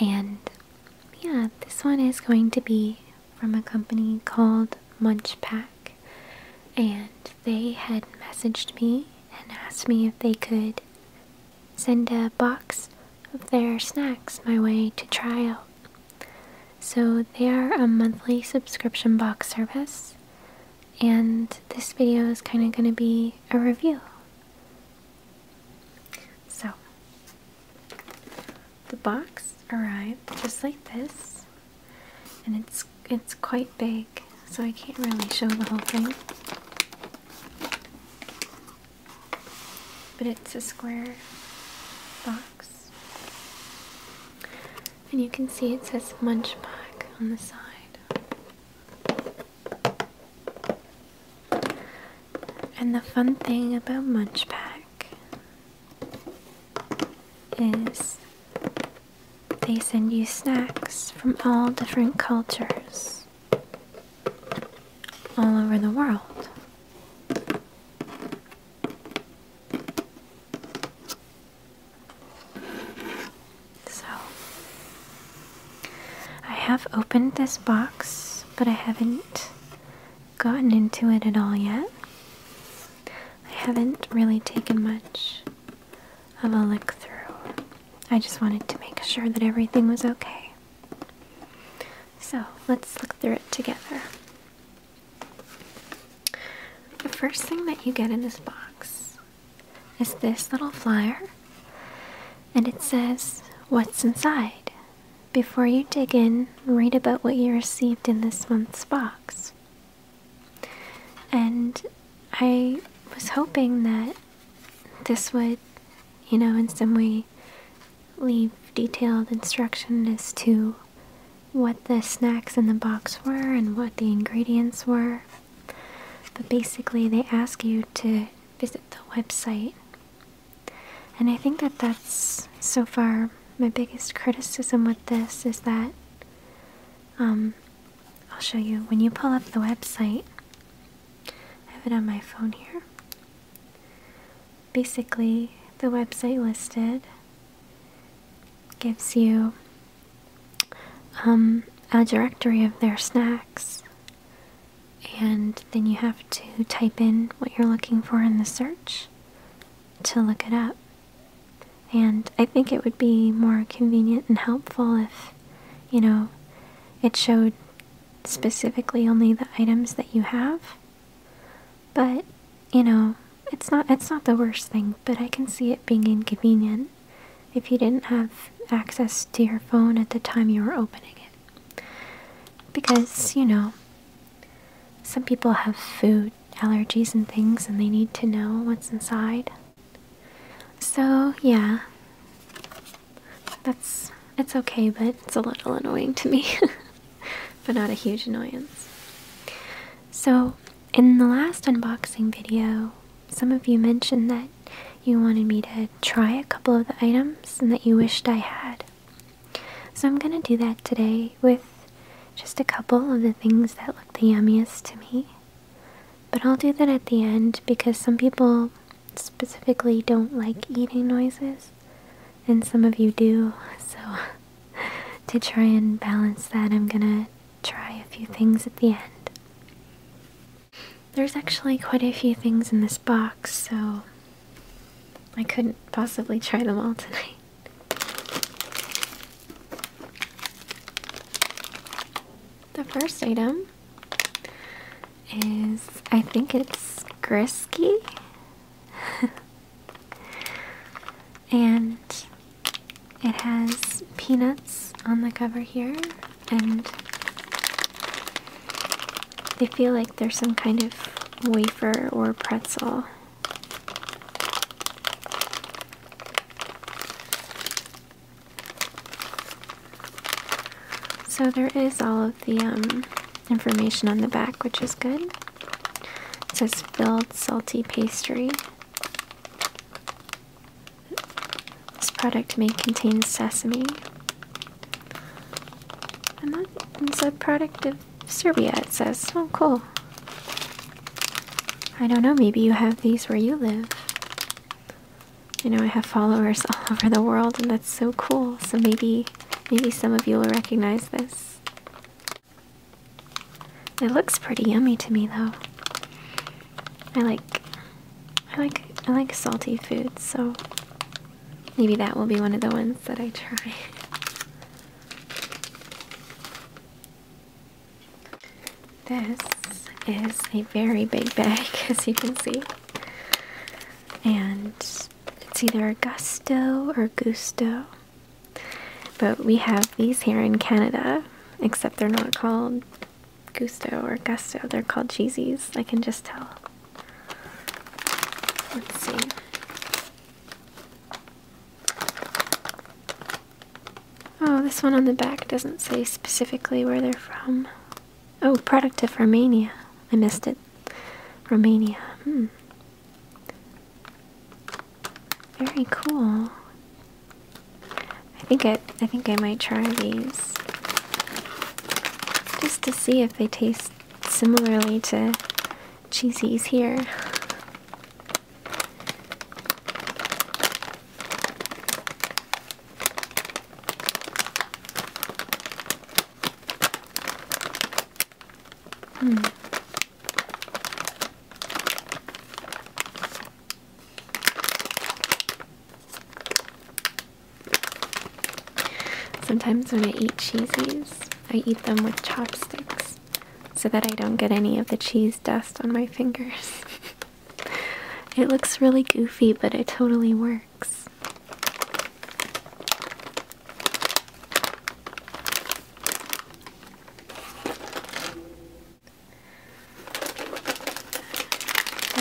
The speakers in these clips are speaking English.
And yeah, this one is going to be from a company called Munch Pack. And they had messaged me and asked me if they could send a box of their snacks my way to try out. So they are a monthly subscription box service. And this video is kind of going to be a review. So, the box arrived just like this, and it's it's quite big, so I can't really show the whole thing. But it's a square box, and you can see it says Munch on the side. And the fun thing about Munch is they send you snacks from all different cultures all over the world. So I have opened this box, but I haven't gotten into it at all yet. I haven't really taken much of a look through. I just wanted to make sure that everything was okay. So let's look through it together. The first thing that you get in this box is this little flyer and it says, What's inside? Before you dig in, read about what you received in this month's box. And I was hoping that this would, you know, in some way leave detailed instruction as to what the snacks in the box were and what the ingredients were. But basically, they ask you to visit the website and I think that that's so far my biggest criticism with this is that um, I'll show you when you pull up the website. I have it on my phone here. Basically, the website listed gives you um, a directory of their snacks and then you have to type in what you're looking for in the search to look it up. And I think it would be more convenient and helpful if, you know, it showed specifically only the items that you have. But, you know, it's not it's not the worst thing, but I can see it being inconvenient if you didn't have access to your phone at the time you were opening it. Because, you know, some people have food allergies and things and they need to know what's inside. So, yeah. That's it's okay, but it's a little annoying to me. but not a huge annoyance. So, in the last unboxing video, some of you mentioned that you wanted me to try a couple of the items that you wished I had. So I'm going to do that today with just a couple of the things that look the yummiest to me. But I'll do that at the end because some people specifically don't like eating noises and some of you do. So to try and balance that, I'm going to try a few things at the end. There's actually quite a few things in this box, so I couldn't possibly try them all tonight. The first item is, I think it's Grisky. and it has peanuts on the cover here and they feel like there's some kind of wafer or pretzel. So there is all of the um, information on the back, which is good. It says filled salty pastry. This product may contain sesame. And that is a product of Serbia, it says. so oh, cool. I don't know, maybe you have these where you live. You know, I have followers all over the world, and that's so cool. So maybe, maybe some of you will recognize this. It looks pretty yummy to me, though. I like I like I like salty foods, so maybe that will be one of the ones that I try. This is a very big bag, as you can see. And it's either Gusto or Gusto. But we have these here in Canada, except they're not called Gusto or Gusto. They're called cheesies. I can just tell. Let's see. Oh, this one on the back doesn't say specifically where they're from. Oh, product of Romania. I missed it. Romania. Hmm. Very cool. I think I I think I might try these just to see if they taste similarly to cheesies here. Hmm. Sometimes when I eat cheesies, I eat them with chopsticks so that I don't get any of the cheese dust on my fingers. it looks really goofy, but it totally works.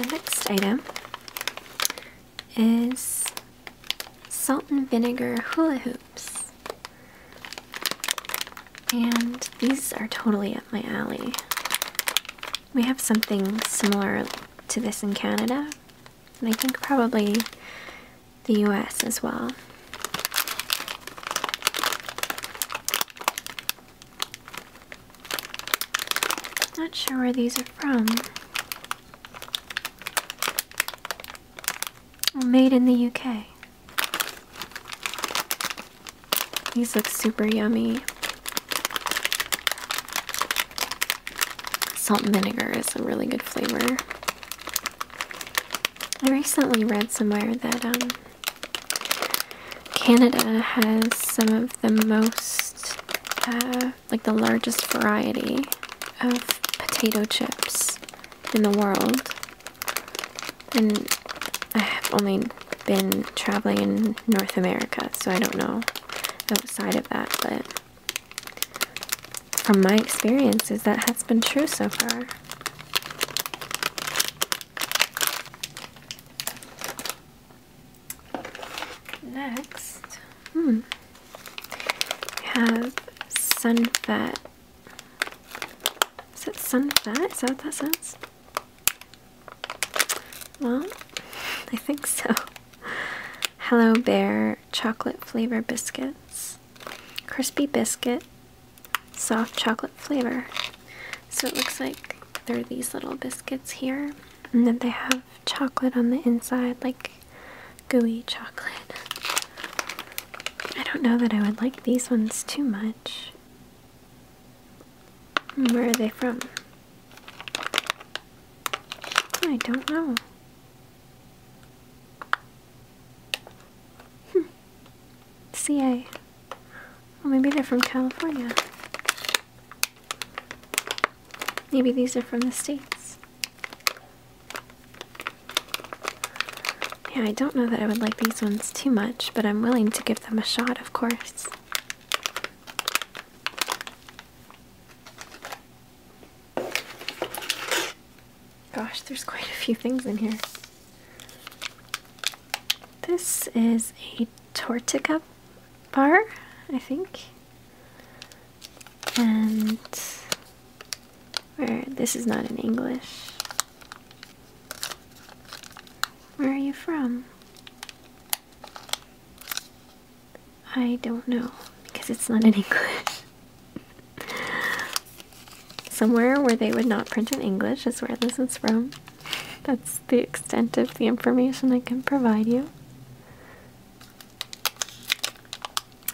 next item is salt and vinegar hula hoops. And these are totally up my alley. We have something similar to this in Canada, and I think probably the US as well. Not sure where these are from. Made in the UK. These look super yummy. Salt and vinegar is a really good flavor. I recently read somewhere that um, Canada has some of the most uh, like the largest variety of potato chips in the world. And I have only been traveling in North America, so I don't know outside of that, but from my experiences, that has been true so far. Next, hmm, we have Sunfet. Is that Sunfet? Is that what that sounds? Well, I think so. Hello Bear chocolate flavor biscuits. Crispy biscuit, soft chocolate flavor. So it looks like there are these little biscuits here, and then they have chocolate on the inside, like gooey chocolate. I don't know that I would like these ones too much. Where are they from? I don't know. Hmm. CA. Well, maybe they're from California. Maybe these are from the States. Yeah, I don't know that I would like these ones too much, but I'm willing to give them a shot, of course. Gosh, there's quite a few things in here. This is a Tortica bar, I think. And where this is not in English. Where are you from? I don't know because it's not in English. Somewhere where they would not print in English is where this is from. That's the extent of the information I can provide you.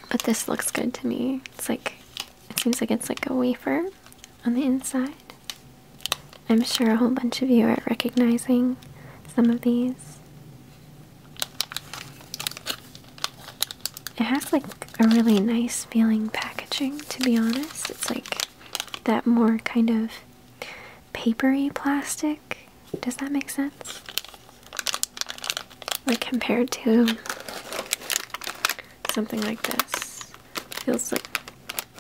But this looks good to me. It's like, it seems like it's like a wafer on the inside. I'm sure a whole bunch of you are recognizing some of these. It has like a really nice feeling packaging, to be honest. It's like that more kind of papery plastic. Does that make sense? Like compared to something like this. Feels like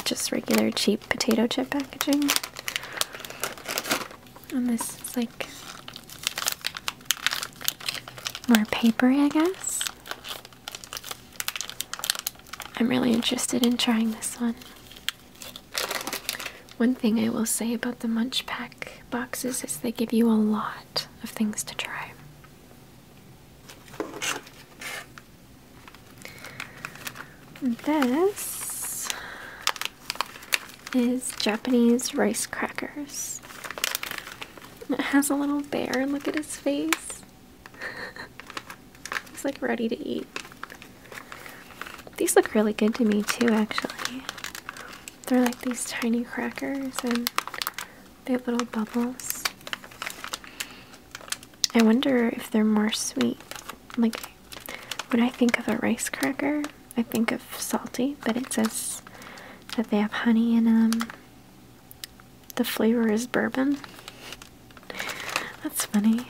just regular cheap potato chip packaging. And this is like more papery, I guess. I'm really interested in trying this one. One thing I will say about the Munch Pack boxes is they give you a lot of things to try. This is Japanese rice crackers. It has a little bear, look at his face. It's like ready to eat. These look really good to me too, actually. They're like these tiny crackers and they have little bubbles. I wonder if they're more sweet. Like, when I think of a rice cracker, I think of salty, but it says that they have honey in them. The flavor is bourbon. That's funny.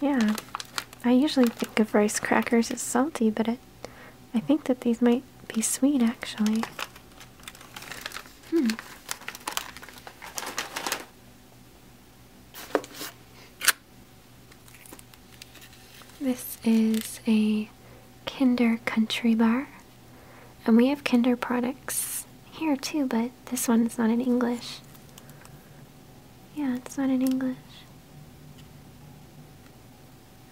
Yeah, I usually think of rice crackers as salty, but I think that these might be sweet actually. Hmm. This is a Kinder Country Bar, and we have Kinder products here too, but this one is not in English. Yeah, it's not in English.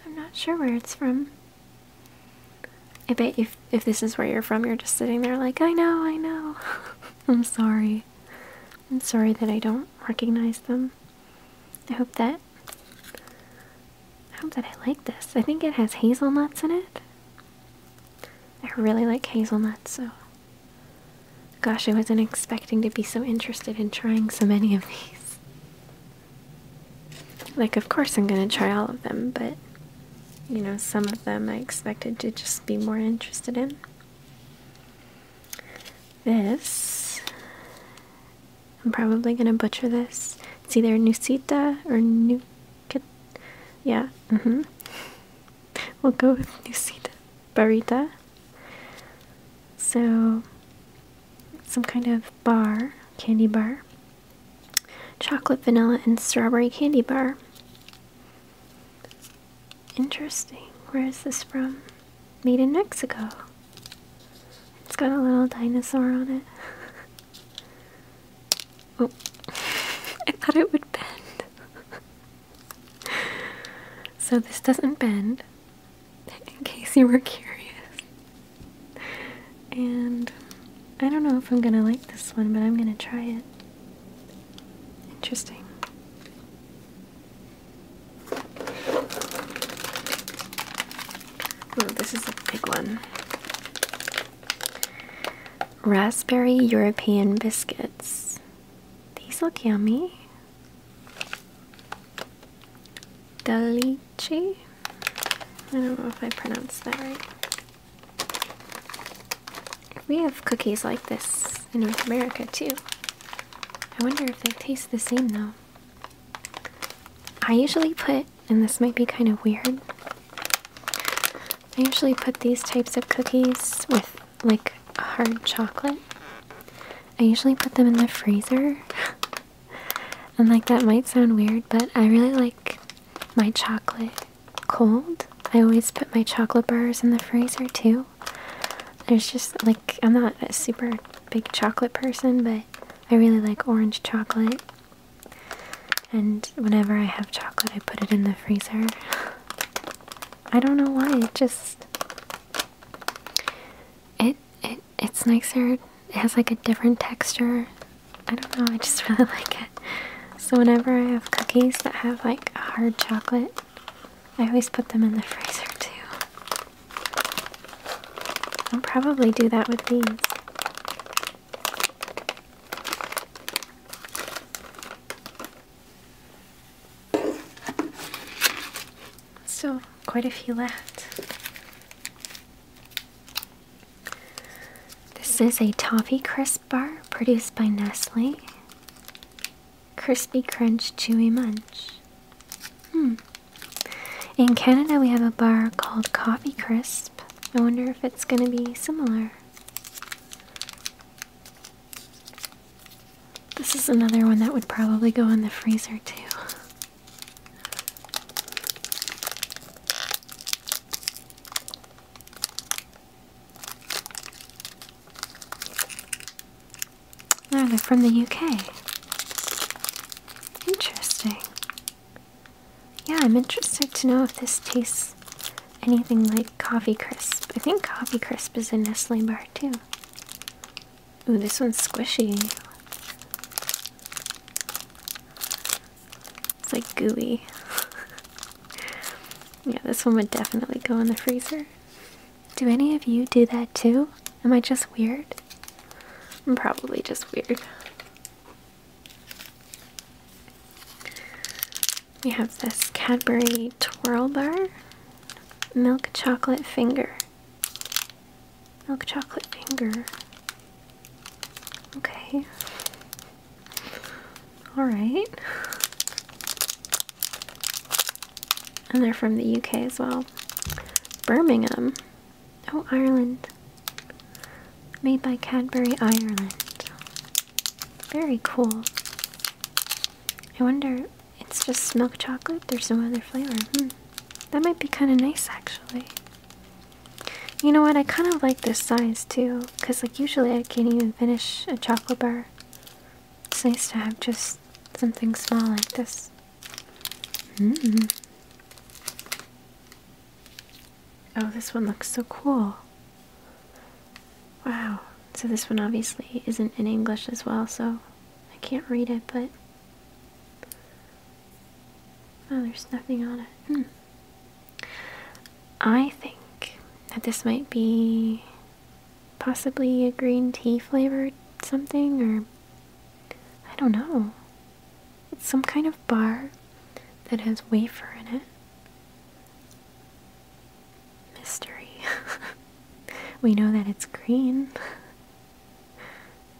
I'm not sure where it's from. I bet if, if this is where you're from, you're just sitting there like, I know, I know. I'm sorry. I'm sorry that I don't recognize them. I hope that... I hope that I like this. I think it has hazelnuts in it. I really like hazelnuts, so gosh, I wasn't expecting to be so interested in trying so many of these. Like, of course, I'm gonna try all of them, but you know, some of them I expected to just be more interested in. This, I'm probably gonna butcher this. It's either Nusita or New yeah, mm-hmm. We'll go with Nucida Barita. So, some kind of bar, candy bar. Chocolate, vanilla, and strawberry candy bar. Interesting. Where is this from? Made in Mexico. It's got a little dinosaur on it. oh, I thought it would bend. so this doesn't bend, in case you were curious. And I don't know if I'm gonna like this one, but I'm gonna try it. Interesting. Oh, this is a big one raspberry European biscuits. These look yummy. Delici? I don't know if I pronounced that right. We have cookies like this in North America too. I wonder if they taste the same though. I usually put, and this might be kind of weird, I usually put these types of cookies with like hard chocolate. I usually put them in the freezer. and like that might sound weird, but I really like my chocolate cold. I always put my chocolate bars in the freezer too. There's just like I'm not a super big chocolate person, but I really like orange chocolate. And whenever I have chocolate, I put it in the freezer. I don't know why it just it it it's nicer. It has like a different texture. I don't know. I just really like it. So whenever I have cookies that have like hard chocolate, I always put them in the freezer too. I'll probably do that with these. So, quite a few left. This is a toffee crisp bar produced by Nestle. Crispy Crunch Chewy Munch. Hmm. In Canada, we have a bar called Coffee Crisp. I wonder if it's going to be similar. This is another one that would probably go in the freezer too. No, ah, they're from the UK. Interesting. Yeah, I'm interested to know if this tastes anything like coffee crisp. I think coffee crisp is a Nestle bar too. Ooh, this one's squishy. It's like gooey. yeah, this one would definitely go in the freezer. Do any of you do that too? Am I just weird? I'm probably just weird. We have this Cadbury Twirl Bar Milk Chocolate Finger. Milk Chocolate Finger. Okay. Alright. And they're from the UK as well. Birmingham. Oh, Ireland. Made by Cadbury Ireland. Very cool. I wonder, it's just milk chocolate? There's no other flavor. Hmm. That might be kind of nice actually. You know what, I kind of like this size too, because like usually I can't even finish a chocolate bar. It's nice to have just something small like this. Mm. Oh, this one looks so cool. Wow. So this one obviously isn't in English as well, so I can't read it, but. Oh, there's nothing on it. Hmm. I think that this might be possibly a green tea flavored something, or. I don't know. It's some kind of bar that has wafer in it mystery. we know that it's green.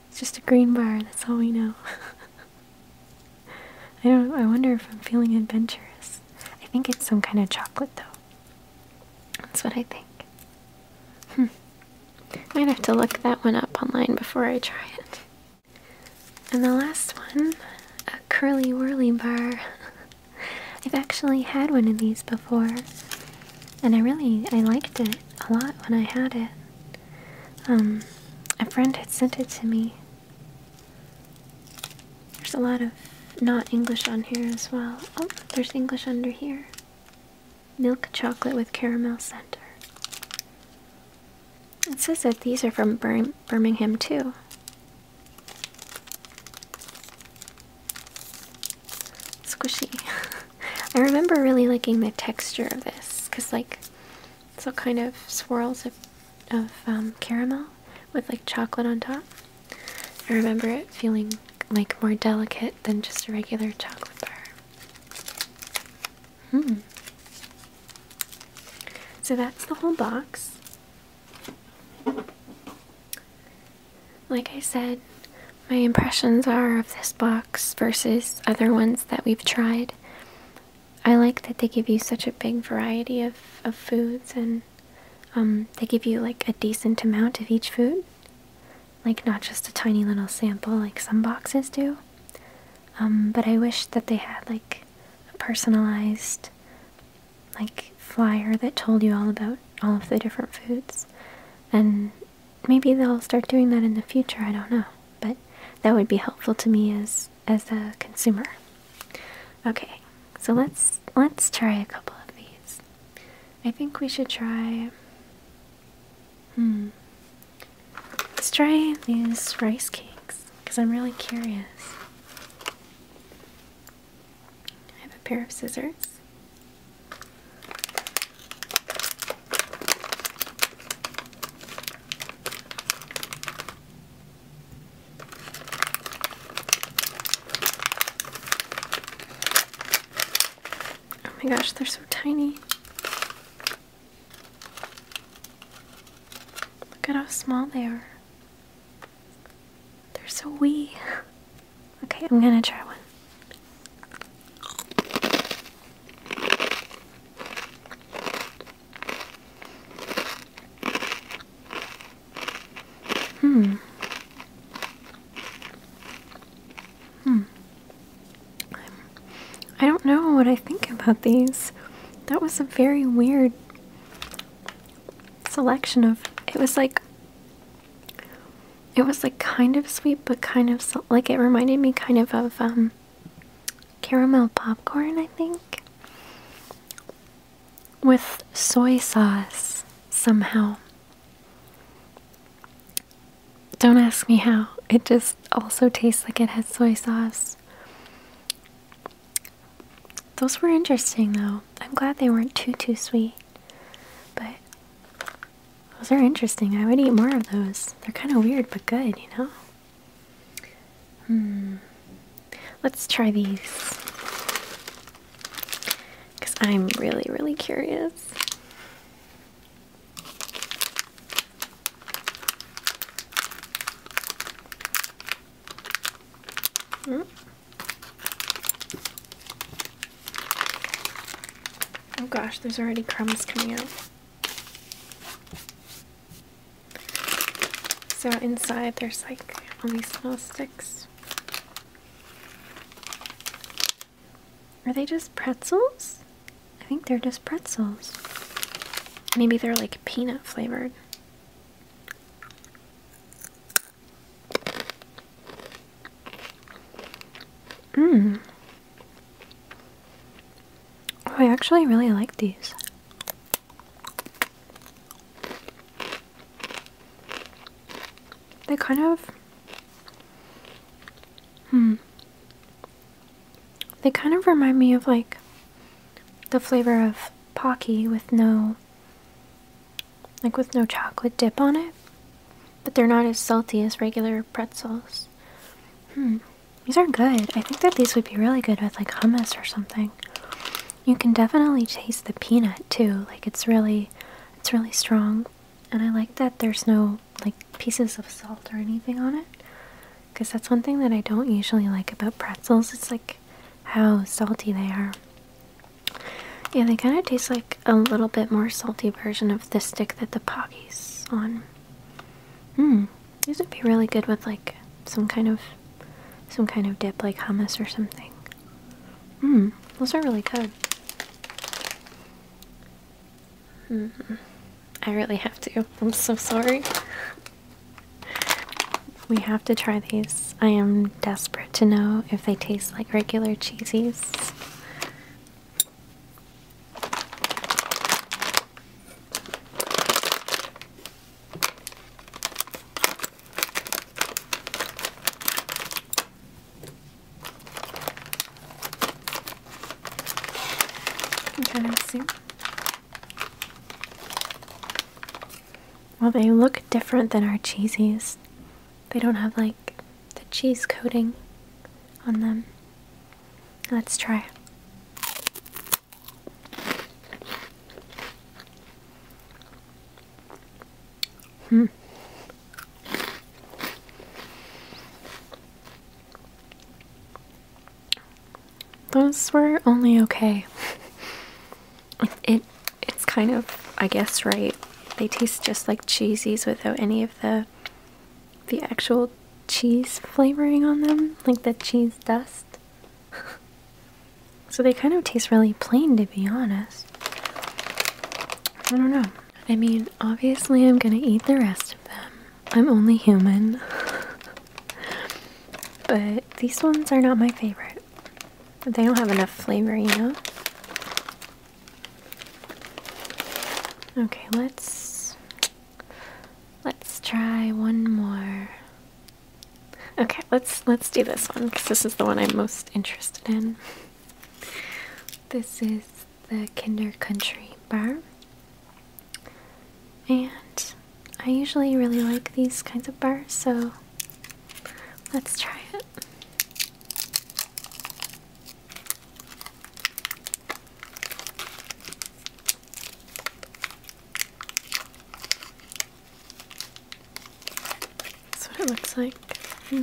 It's just a green bar, that's all we know. I don't I wonder if I'm feeling adventurous. I think it's some kind of chocolate though. That's what I think. Hmm. Might have to look that one up online before I try it. And the last one, a curly whirly bar. I've actually had one of these before, and I really I liked it a lot when I had it. Um, a friend had sent it to me. There's a lot of not English on here as well. Oh, there's English under here. Milk chocolate with caramel center. It says that these are from Birmingham too. Squishy. I remember really liking the texture of this because, like, it's all kind of swirls of, um, caramel with like chocolate on top. I remember it feeling like more delicate than just a regular chocolate bar. Hmm. So that's the whole box. Like I said, my impressions are of this box versus other ones that we've tried. I like that they give you such a big variety of, of foods and um, they give you like a decent amount of each food. Like not just a tiny little sample like some boxes do. Um, but I wish that they had like personalized like flyer that told you all about all of the different foods. And maybe they'll start doing that in the future, I don't know. But that would be helpful to me as as a consumer. Okay, so let's let's try a couple of these. I think we should try Hmm. Let's try these rice cakes because I'm really curious. I have a pair of scissors. Oh my gosh, they're so tiny. Look at how small they are. They're so wee. Okay, I'm gonna try one. Hmm. Hmm. I'm, I i do not know what I think about these. That was a very weird selection of it was like it was like kind of sweet but kind of like it reminded me kind of of um caramel popcorn I think with soy sauce somehow don't ask me how it just also tastes like it has soy sauce those were interesting though. I'm glad they weren't too too sweet. But those are interesting. I would eat more of those. They're kind of weird but good, you know? Hmm. Let's try these. Because I'm really, really curious. Hmm? Oh gosh, there's already crumbs coming out. So inside there's like all these little sticks. Are they just pretzels? I think they're just pretzels. Maybe they're like peanut flavored. Mmm. I actually really like these. They kind of. Hmm. They kind of remind me of like the flavor of Pocky with no like with no chocolate dip on it. But they're not as salty as regular pretzels. Hmm. These are good. I think that these would be really good with like hummus or something. You can definitely taste the peanut too. Like it's really it's really strong. And I like that there's no like pieces of salt or anything on it. Because that's one thing that I don't usually like about pretzels. It's like how salty they are. Yeah, they kind of taste like a little bit more salty version of the stick that the Poggy's on. Hmm, these would be really good with like some kind of some kind of dip, like hummus or something. Hmm, those are really good. Hmm, I really have to. I'm so sorry. We have to try these. I am desperate to know if they taste like regular cheesies. Kind of soup. Well, they look different than our cheesies. They don't have like the cheese coating on them. Let's try. Hmm. Those were only okay. it, it's kind of I guess right. They taste just like cheesies without any of the the actual cheese flavoring on them, like the cheese dust. so they kind of taste really plain to be honest. I don't know. I mean, obviously I'm going to eat the rest of them. I'm only human. But these ones are not my favorite. They don't have enough flavor, you know? Okay, let's let's try one more. Okay, let's let's do this one because this is the one I'm most interested in. This is the Kinder Country bar. And I usually really like these kinds of bars, so let's try it. That's what it looks like. Hmm.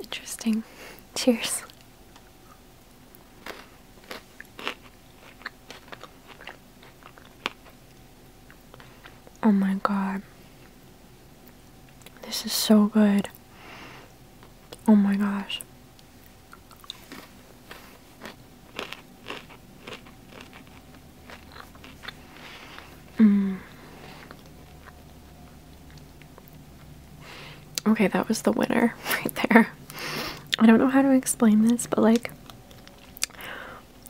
Interesting. Cheers. Oh my god. This is so good. Oh my gosh. Mm. Okay, that was the winner right there. I don't know how to explain this, but like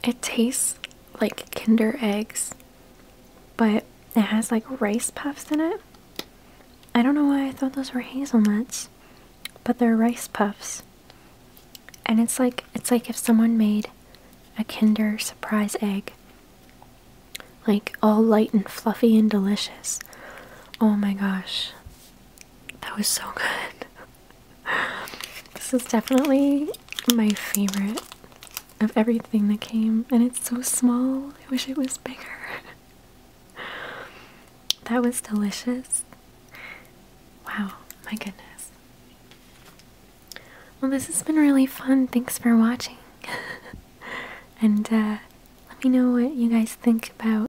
it tastes like Kinder eggs, but it has like rice puffs in it. I don't know why I thought those were hazelnuts, but they're rice puffs. And it's like it's like if someone made a Kinder surprise egg. Like all light and fluffy and delicious. Oh my gosh. That was so good. this is definitely my favorite of everything that came, and it's so small. I wish it was bigger. that was delicious. Wow, my goodness. Well, this has been really fun. Thanks for watching. and uh, let me know what you guys think about.